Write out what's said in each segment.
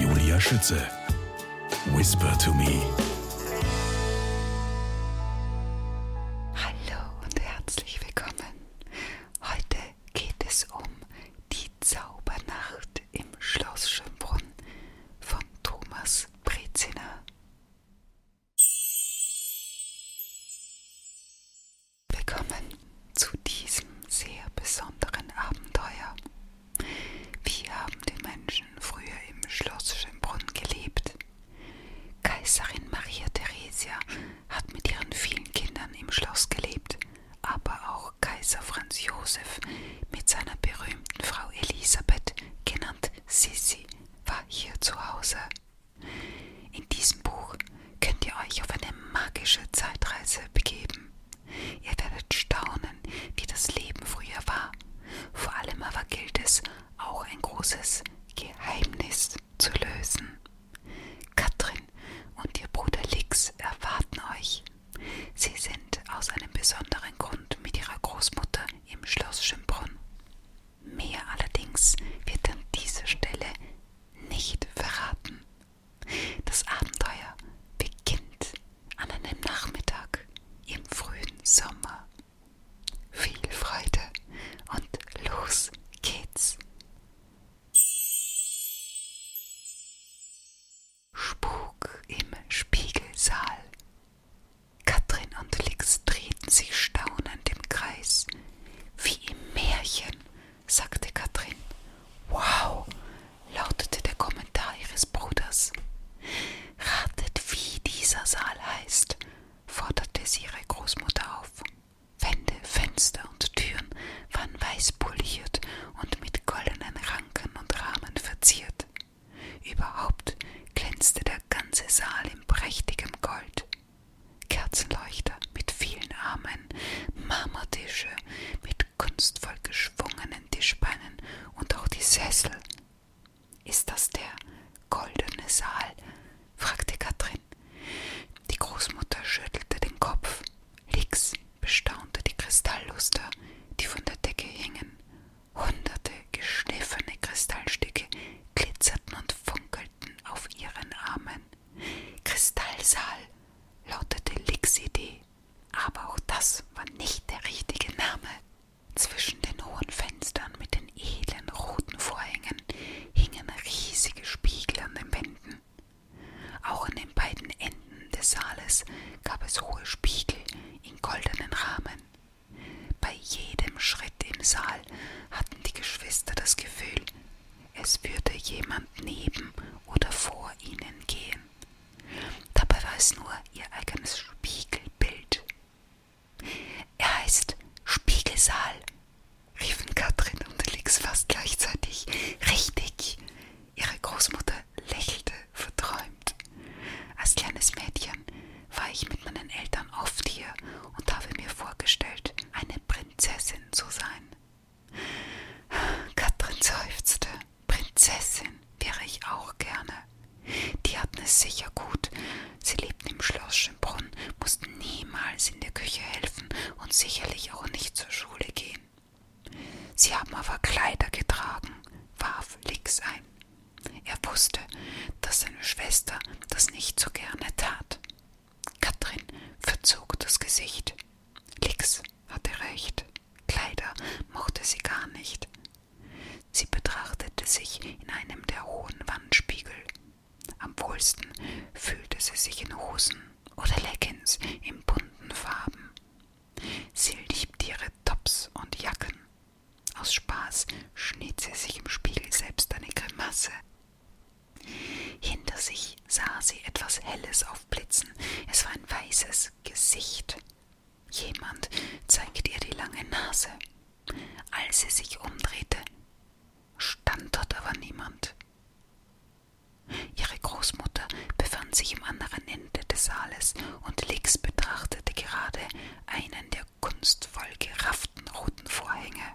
Julia Schütze. Whisper to me. Hallo und herzlich willkommen. Heute geht es um die Zaubernacht im Schloss Schönbrunn von Thomas Breziner. Willkommen zu diesem sehr besonderen Abenteuer. Wie haben die Menschen früher im Schloss Schönbrunn gelebt? Kaiserin Maria Theresia hat mit ihren vielen Kindern im Schloss gelebt, aber auch Kaiser Franz Josef mit seiner berühmten Frau Elisabeth, genannt Sissi, war hier zu Hause. In diesem Buch könnt ihr euch auf eine magische Zeitreise begeben Ihr werdet staunen, wie das Leben früher war. Vor allem aber gilt es, auch ein großes Geheimnis zu lösen. Katrin und ihr Bruder Lix erwarten euch. Sie sind aus einem besonderen Grund mit ihrer Großmutter im Schloss Schönbrunn. Mehr allerdings wird an dieser Stelle nicht verraten. Das Abenteuer beginnt an einem Nachmittag im frühen Sommer. Viel Freude und los geht's. Spuk im Spiegelsaal. Katrin und Lix drehten sich staunend im Kreis, wie im Märchen, sagte Katrin. Wow, lautete der Kommentar ihres Bruders. Ratet, wie dieser Saal heißt, forderte sie ihre Großmutter auf. Wände, Fenster und Türen waren weiß poliert und mit goldenen Ranken und Rahmen verziert. Überhaupt glänzte der ganze Saal in prächtigem Gold. Kerzenleuchter mit vielen Armen, Marmortische mit mit kunstvoll geschwungenen Tischbeinen und auch die Sessel. Ist das der goldene Saal? fragte Katrin. Die Großmutter schüttelte den Kopf. Lix bestaunte die Kristallluster, die von der Decke hingen. Hunderte geschliffene Kristallstücke glitzerten und funkelten auf ihren Armen. Kristallsaal lautete Licks Idee, aber auch das war nicht der richtige Name. Zwischen den hohen Fenstern mit den edlen roten Vorhängen hingen riesige Spiegel an den Wänden. Auch an den beiden Enden des Saales gab es hohe Spiegel in goldenen Rahmen. Bei jedem Schritt im Saal hatten die Geschwister das Gefühl, es würde jemand neben oder vor ihnen gehen. Dabei war es nur ihr eigenes Spiegelbild. Er heißt Spiegelsaal, riefen Katrin und Lix fast gleichzeitig. Richtig! Ihre Großmutter lächelte verträumt. Als kleines Mädchen war ich mit meinen Eltern oft hier und habe mir vorgestellt, eine Prinzessin zu sein. Katrin seufzte. Prinzessin wäre ich auch gerne. Die hatten es sicher gut. Sie lebten im Schloss Schönbrunn, mussten niemals in der Küche helfen und sicherlich auch nicht zur Schule gehen. Sie haben aber Kleider getragen, warf Lix ein. Er wusste, dass seine Schwester das nicht so gerne tat. Katrin verzog das Gesicht. Lix, hatte recht, Kleider mochte sie gar nicht. Sie betrachtete sich in einem der hohen Wandspiegel. Am wohlsten fühlte sie sich in Hosen oder Leggings in bunten Farben. Sie liebte ihre Tops und Jacken. Aus Spaß schnitt sie sich im Spiegel selbst eine Grimasse. Hinter sich sah sie etwas Helles aufblitzen. Es war ein weißes Gesicht. Jemand zeigte ihr die lange Nase. Als sie sich umdrehte, stand dort aber niemand. Ihre Großmutter befand sich im anderen Ende des Saales und Lix betrachtete gerade einen der kunstvoll gerafften roten Vorhänge.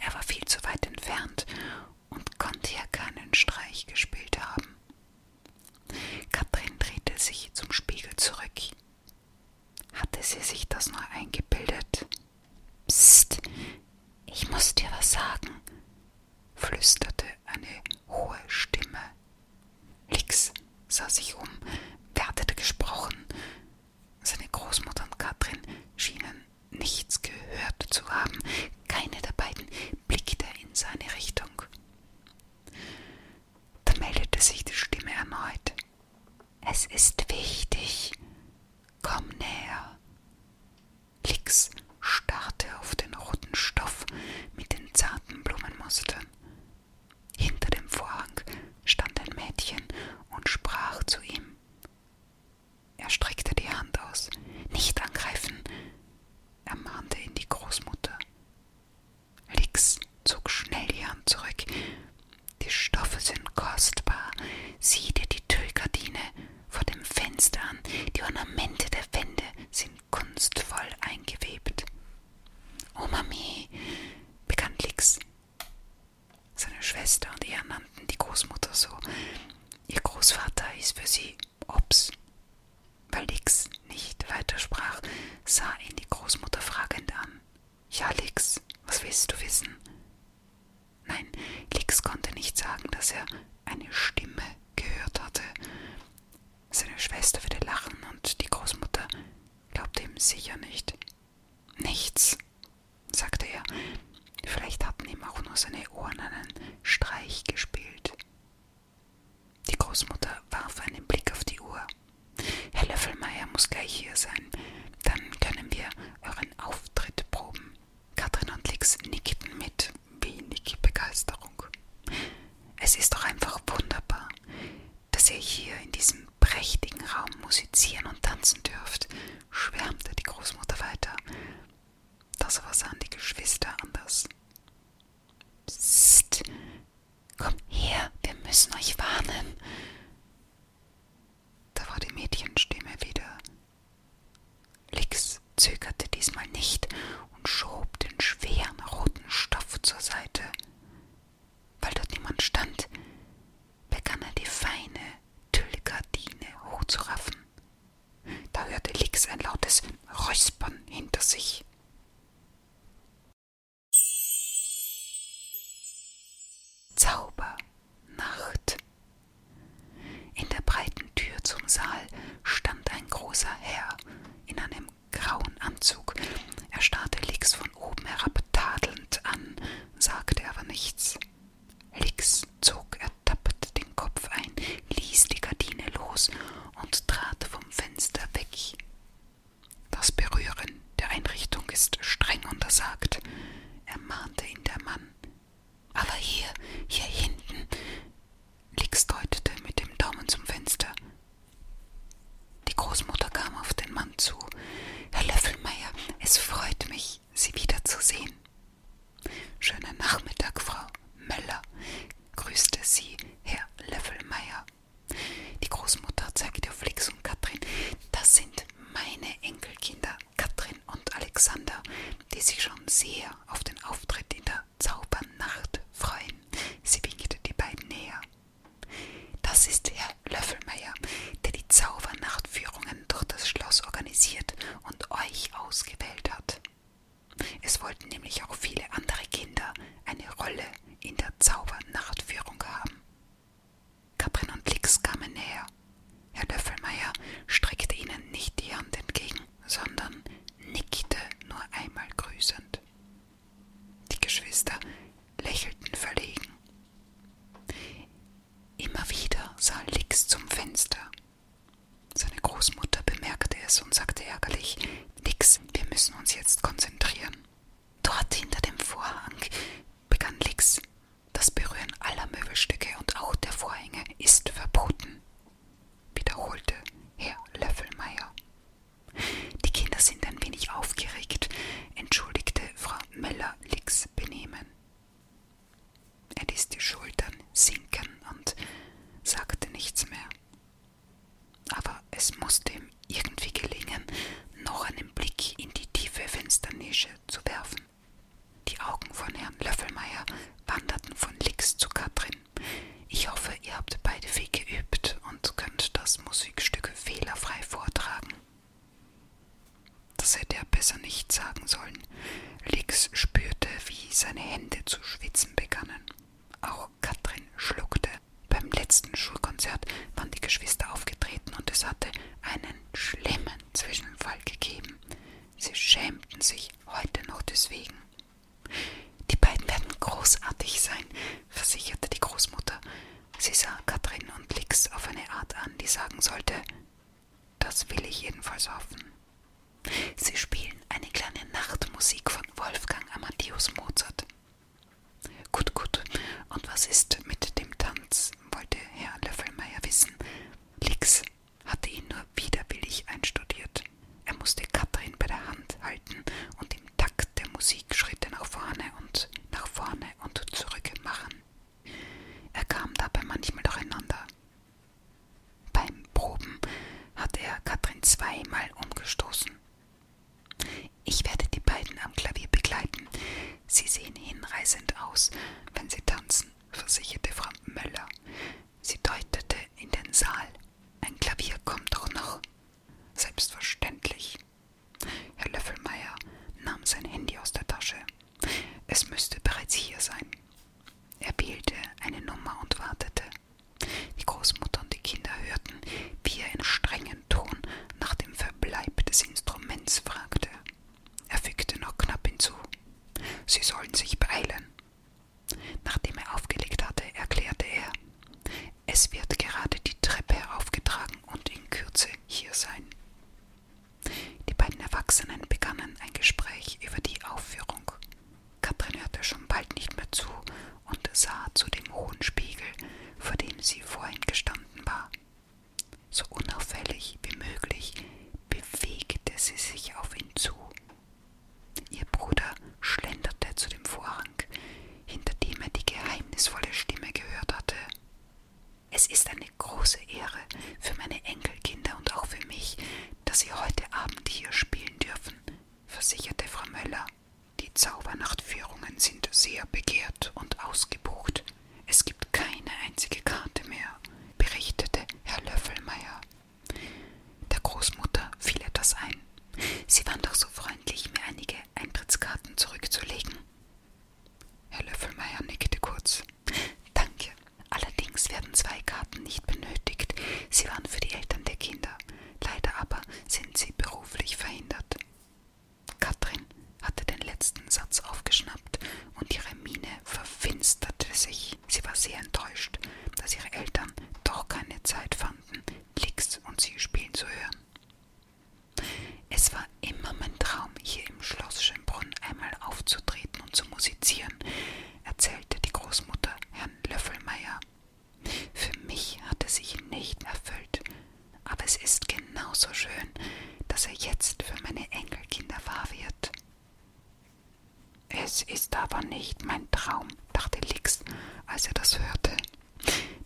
Er war viel zu weit entfernt und konnte ja keinen Streich gespielt haben. Katrin drehte sich zum Spiegel zurück. Hatte sie sich das nur eingebildet? Psst, ich muss dir was sagen, flüsterte eine hohe Stimme. Lix sah sich um. Wer hatte da gesprochen? Seine Großmutter und Katrin schienen nichts gehört zu haben. Keine der beiden blickte in seine Richtung. Da meldete sich die Stimme erneut. Es ist wichtig. Komm näher. Lix starrte auf den roten Stoff mit den zarten Blumenmustern. Hinter dem Vorhang stand ein Mädchen und sprach zu ihm. Er streckte die Hand aus. Nicht angreifen, ermahnte ihn die Großmutter. Lix zog schnell die Hand zurück. Die Stoffe sind kostbar. Sieh dir die Tüllgardine vor dem Fenster an. Die Ornamente der Wände sind kunstvoll eingewebt. Oh Mami, begann Lix. Seine Schwester und er nannten die Großmutter so. Ihr Großvater hieß für sie Ops. Weil Lix nicht weitersprach, sah ihn die Großmutter fragend an. Ja, Lix, was willst du wissen? Nein, Lix konnte nicht sagen, dass er eine Stimme gehört hatte. Seine Schwester würde lachen und die Großmutter glaubte ihm sicher nicht. Nichts, sagte er. Vielleicht hatten ihm auch nur seine Ohren einen Streich gespielt. Die Großmutter warf einen Blick auf die Uhr. Herr Löffelmeier muss gleich hier sein. Dann können wir euren Auftritt proben. Katrin und Lix nickten mit wenig Begeisterung. Es ist doch einfach wunderbar, dass ihr hier in diesem prächtigen Raum musizieren und tanzen dürft, schwärmte die Großmutter weiter. Das aber sahen die Geschwister anders. Psst, komm her, wir müssen euch warnen. Da war die Mädchenstimme wieder. Lix zögerte diesmal nicht und schob den schweren roten Stoff zur Seite. Weil dort niemand stand, begann er die feine Tüllgardine hochzuraffen. Da hörte Lix ein lautes Räuspern hinter sich. Zaubernacht. In der breiten Tür zum Saal stand ein großer Herr in einem grauen Anzug. Er starrte Lix von oben herab tadelnd an, sagte aber nichts. Hicks zog ertappt den Kopf ein, ließ die Gardine los und trat vom Fenster weg. Das Berühren der Einrichtung ist streng untersagt, ermahnte ihn der Mann. Aber hier, hier hinten, Lix deutete mit dem Daumen zum Fenster. Die Großmutter kam auf den Mann zu. Herr Löffelmeier, es freut mich, mich, Sie wiederzusehen. Schönen Nachmittag, Frau Möller, grüßte sie Herr Löffelmeier. Die Großmutter zeigte auf Flix und Katrin. Das sind meine Enkelkinder, Katrin und Alexander, die sich schon sehr auf den Auftritt in der Zaubernacht freuen. Sie winkte die beiden näher. Das ist Herr Löffelmeier, der die Zaubernachtführungen Herren durch das Schloss organisiert und euch ausgewählt hat. Es wollten nämlich auch viele andere Kinder eine Rolle in der Zaubernachtführung haben. Kaprin und Lix kamen näher. Herr Löffelmeier streckte ihnen nicht die Hand entgegen, sondern nickte nur einmal grüßend. Die Geschwister lächelten verlegen. Immer wieder sah Lix zum Fenster seine Großmutter bemerkte es und sagte ärgerlich: Nix, wir müssen uns jetzt konzentrieren. Dort hinter dem Vorhang begann Lix. Das Berühren aller Möbelstücke und auch der Vorhänge ist verboten, wiederholte Herr Löffelmeier. Die Kinder sind ein wenig aufgeregt, entschuldigte Frau Möller Lix Benehmen. Er ließ die Schultern sinken und sagte nichts mehr. Aber es musste ihm irgendwie gelingen, noch einen Blick in die tiefe Fensternische zu werfen. Die Augen von Herrn Löffelmeier wanderten von Lix zu Katrin. Ich hoffe, ihr habt beide viel geübt und könnt das Musikstück fehlerfrei vortragen. Das hätte er besser nicht sagen sollen. Lix spürte, wie seine Hände zu schwitzen begannen. Auch Katrin schluckte. Beim letzten Schulkonzert waren die Geschwister aufgetreten und es hatte einen schlimmen Zwischenfall gegeben. Sie schämten sich heute noch deswegen. Die beiden werden großartig sein, versicherte die Großmutter. Sie sah Katrin und Lix auf eine Art an, die sagen sollte, das will ich jedenfalls hoffen. Sie spielen eine kleine Nachtmusik von Wolfgang Amadeus Mozart. Gut, gut. Und was ist mit dem Tanz? wollte Herr Löffelmeier wissen. Lix hatte ihn nur widerwillig einstudiert. Er musste Katrin bei der Hand halten und im Takt der Musik Schritte nach vorne und nach vorne und zurück machen. Er kam dabei manchmal durcheinander. Beim Proben hat er Katrin zweimal umgestoßen. Ich werde die beiden am Klavier begleiten. Sie sehen hinreißend aus, wenn sie tanzen, versicherte Frau Möller. Sie deutete in den Saal. Ein Klavier kommt doch noch. Selbstverständlich. Herr Löffelmeier nahm sein Handy aus der Tasche. Es müsste bereits hier sein. Er wählte eine Nummer und wartete. Die Großmutter und die Kinder hörten, wie er in strengem Ton nach dem Verbleib des Instruments fragte. Er fügte noch knapp hinzu. Sie sollen sich beeilen. Nachdem er aufgelegt hatte, erklärte er, es wird gerade die Treppe heraufgetragen und in Kürze hier sein. Die beiden Erwachsenen begannen ein Gespräch über die Aufführung. Katrin hörte schon bald nicht mehr zu und sah zu dem hohen Spiegel, vor dem sie vorhin gestanden war. So unauffällig wie möglich bewegte sie sich auf ihn zu. Ihr Bruder schlenderte zu dem Vorhang, hinter dem er die geheimnisvolle Stimme gehört hatte. Es ist eine große Ehre für meine Enkelkinder und auch für mich, dass sie heute Abend hier spielen dürfen, versicherte Frau Möller. Die Zaubernachtführungen sind sehr begehrt und ausgebucht. Es gibt keine einzige Karte mehr, berichtete Herr Löffelmeier. Der Großmutter fiel etwas ein. Sie waren doch so freundlich, mir einige Eintrittskarten zurückzulegen. Herr Löffelmeier nickte kurz. Danke. Allerdings werden zwei Karten nicht benötigt. Sie waren für die Eltern der Kinder. Leider aber sind sie beruflich verhindert. Katrin hatte den letzten Satz aufgeschnappt und ihre Miene verfinsterte sich. Sie war sehr enttäuscht, dass ihre Eltern doch keine Zeit fanden, Blix und sie spielen zu hören. Es war immer mein Traum, hier im Schloss Schönbrunn einmal aufzutreten und zu musizieren, erzählte die Großmutter Herrn Löffelmeier. Für mich hatte sich nicht erfüllt, aber es ist genauso schön, dass er jetzt für meine Enkelkinder wahr wird. Es ist aber nicht mein Traum, dachte Lix, als er das hörte.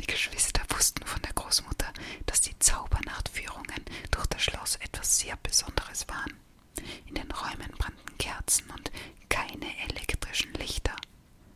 Die Geschwister wussten von der Großmutter, dass die Zaubernachtführungen durch das Schloss etwas sehr Besonderes waren an. In den Räumen brannten Kerzen und keine elektrischen Lichter.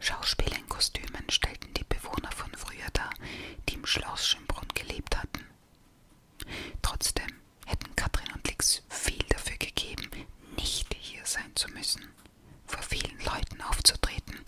Schauspieler in Kostümen stellten die Bewohner von früher dar, die im Schloss Schönbrunn gelebt hatten. Trotzdem hätten Katrin und Lix viel dafür gegeben, nicht hier sein zu müssen. Vor vielen Leuten aufzutreten,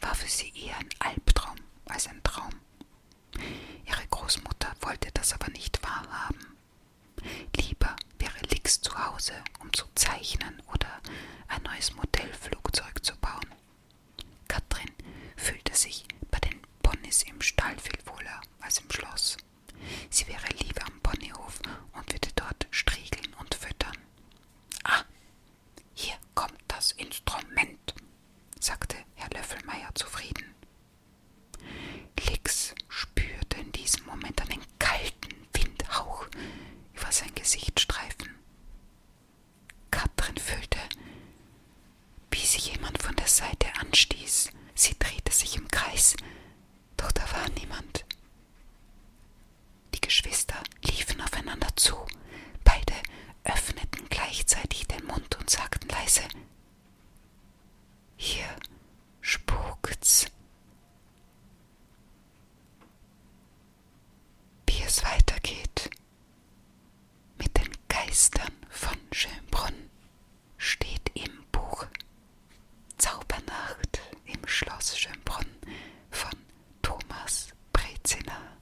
war für sie eher ein Albtraum als ein Traum. Ihre Großmutter wollte das aber nicht wahrhaben. Lieber wäre Lix zu Hause, um zu zeichnen oder ein neues Modellflugzeug zu bauen. Katrin fühlte sich bei den Ponys im Stall viel wohler als im Schloss. Sie wäre lieber am Ponyhof und würde dort striegeln und füttern. Ah, hier kommt das Instrument, sagte Herr Löffelmeier zufrieden. Lix spürte in diesem Moment einen kalten Windhauch über sein Gesicht streifen. Katrin fühlte, wie sie jemand von der Seite anstieß. Sie drehte sich im Kreis, doch da war niemand. Die Geschwister liefen aufeinander zu. Beide öffneten gleichzeitig den Mund und sagten leise hier spukt's. Wie es weitergeht mit den Geistern von Schönbrunn steht im Buch Zaubernacht im Schloss Schönbrunn von Thomas Brezina.